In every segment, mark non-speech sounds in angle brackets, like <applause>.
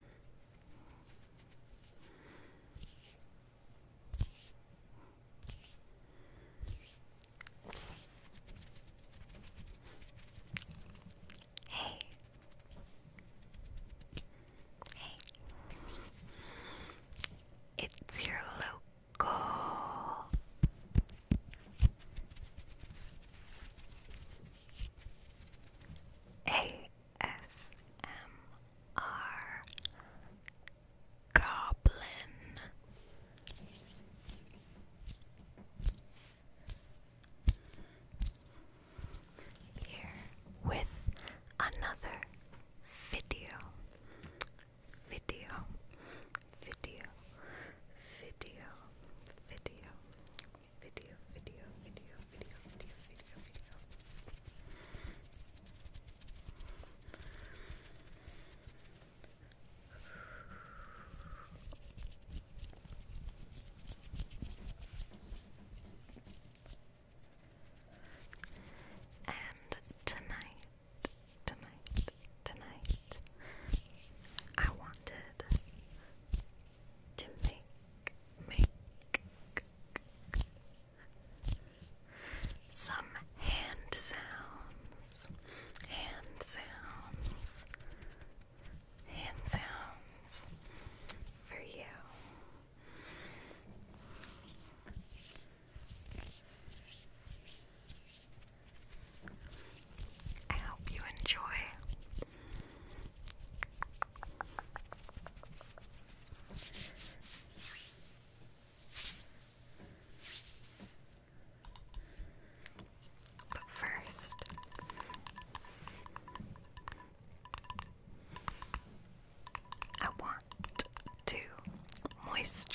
Hey. Hey. It's your local A ASMR Goblin. Here with another video, video, video, video, video, video, video, video, video, video, video, video. And tonight, tonight, tonight, I wanted to make make some hand sounds hand sounds hand sounds for you I hope you enjoy but first, I want to moisturize.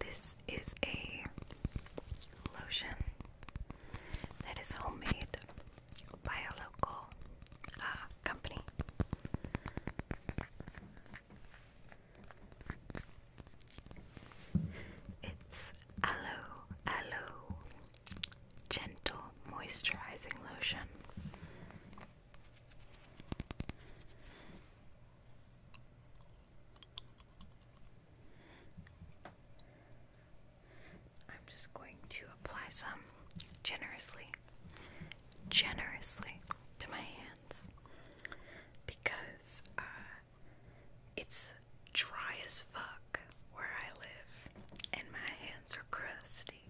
This is a lotion that is homemade by a local uh, company. It's Aloe Aloe Gentle Moisturizing Lotion. I'm just going to apply some generously generously to my hands because uh, it's dry as fuck where I live, and my hands are crusty.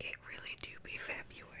It really do be February.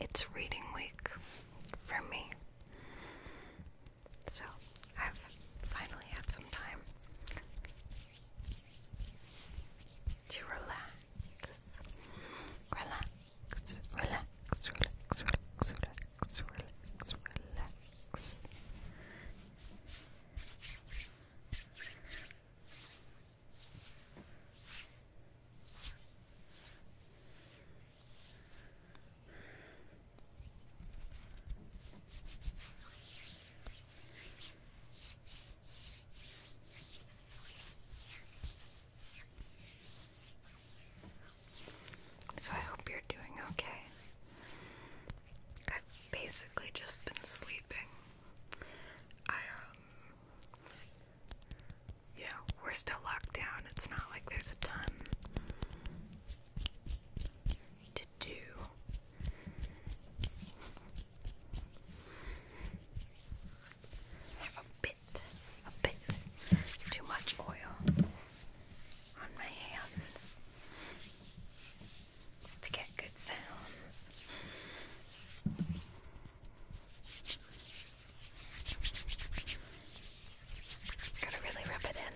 It's reading week for me. So, I've finally had some time to relax. Relax, relax, relax, relax, relax, relax, so, I hope you're doing okay. I've basically just been sleeping. I, um, you know, we're still locked down. It's not like there's a ton to do. have a bit, a bit too much oil on my hands to get good sounds. Gotta really rub it in.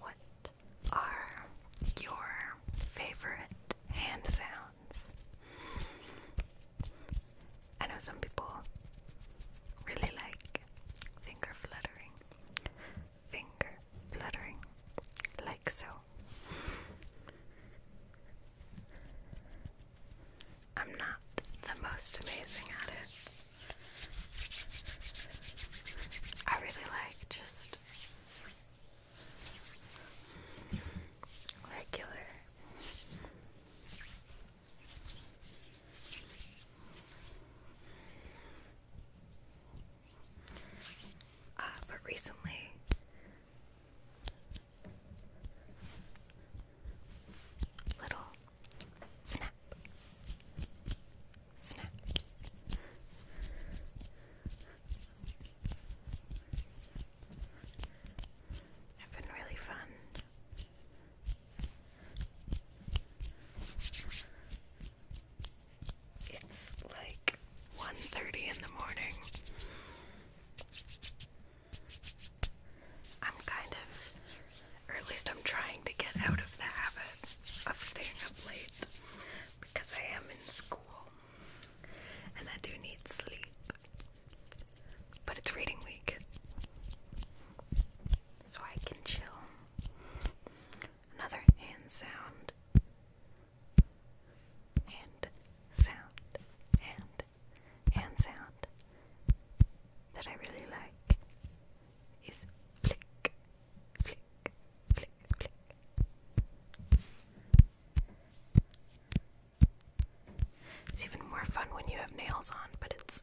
What are your favorite hand sounds? I know some people really like finger fluttering finger fluttering, like so. I'm not the most amazing at it. I really like just regular uh, but recently, little snap snaps. Have been really fun. It's like 1.30 in the morning. I'm kind of, or at least I'm trying to get out of the habit of staying up late because I am in school and I do need sleep. But it's reading week, so I can chill Another hand sound. Hand sound. Hand. Hand sound that I really like is flick, flick, flick, flick. It's even more fun when you have nails on, but it's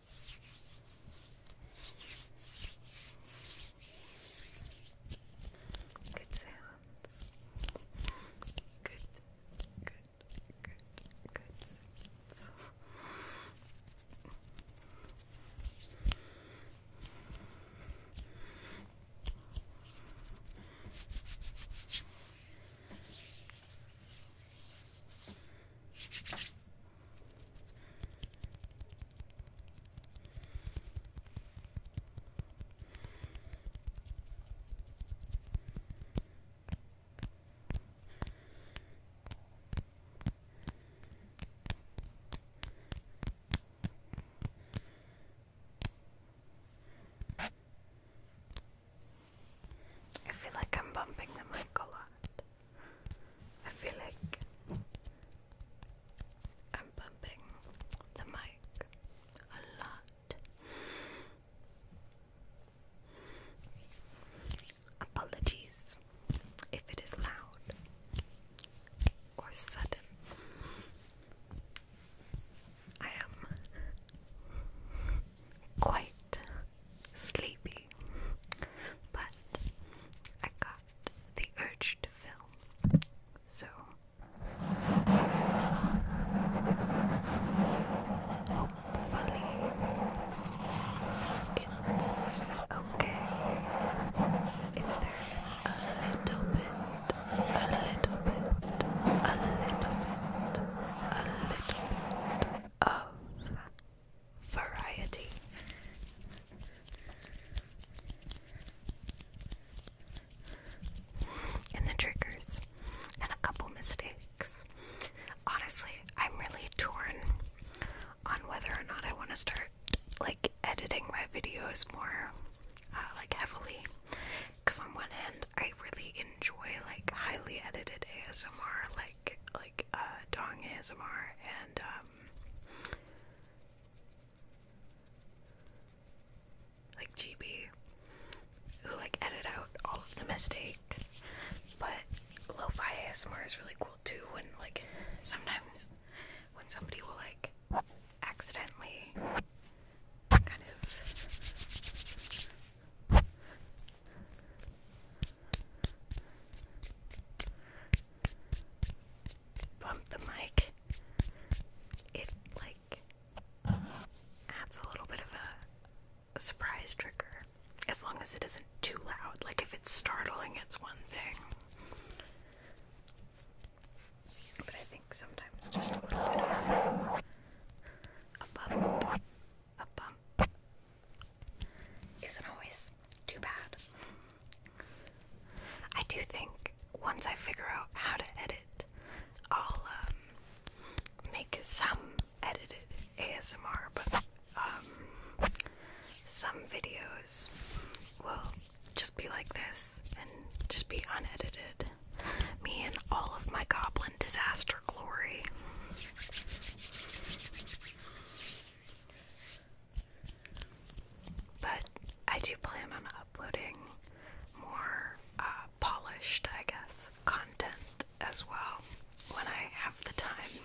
Good sounds. Good, good, good, good sounds. I feel like I'm bumping the mic a lot. I feel like I'm bumping the mic a lot. Apologies if it is loud or sudden. I am quite sleepy but I got the urge to film, so hopefully it's okay if there is a little bit, a little bit, a little bit, a little bit of variety. And the triggers, and a couple mistakes. Honestly, I'm really torn on whether or not I want to start like editing my videos more, uh, like heavily. Because on one hand, I really enjoy like highly edited ASMR, like like like uh, Dong ASMR and um like GB who like edit out all of the mistakes. But lo ASMR is really cool too when like sometimes when somebody will like accidentally kind of Bump the mic. It like adds a little bit of a, surprise trigger. As long as it isn't too loud. Like if it's startling, it's one thing. But I think sometimes just a bump isn't always too bad. I do think once I figure out how to edit, I'll um, make some edited ASMR, but um, some videos will just be like this and just be unedited. Me and all of my goblin disaster glory. But I do plan on uploading more uh, polished, I guess, content as well when I have the time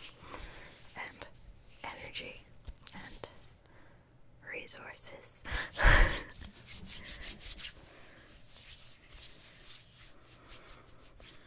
and energy and resources. <laughs>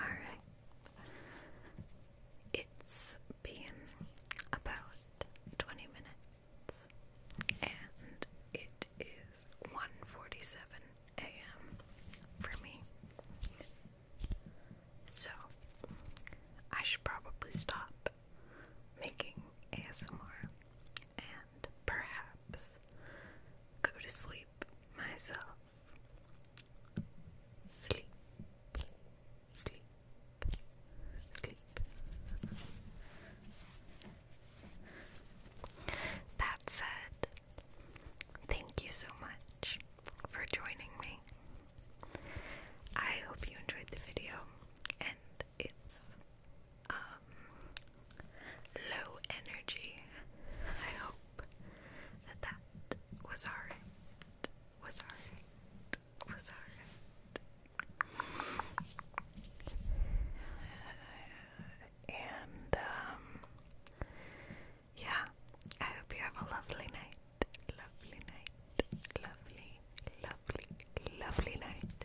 Alright. It's been about 20 minutes and it one forty-seven a.m. for me. So, I should probably stop making ASMR and perhaps go to sleep myself. Sleep. Sleep. Sleep. That said, thank you so much for joining me. I hope you enjoyed the video and it's um, low energy. I hope that was alright. Was alright. Was And, um, yeah, I hope you have a lovely night. Lovely night. Lovely, lovely, lovely night.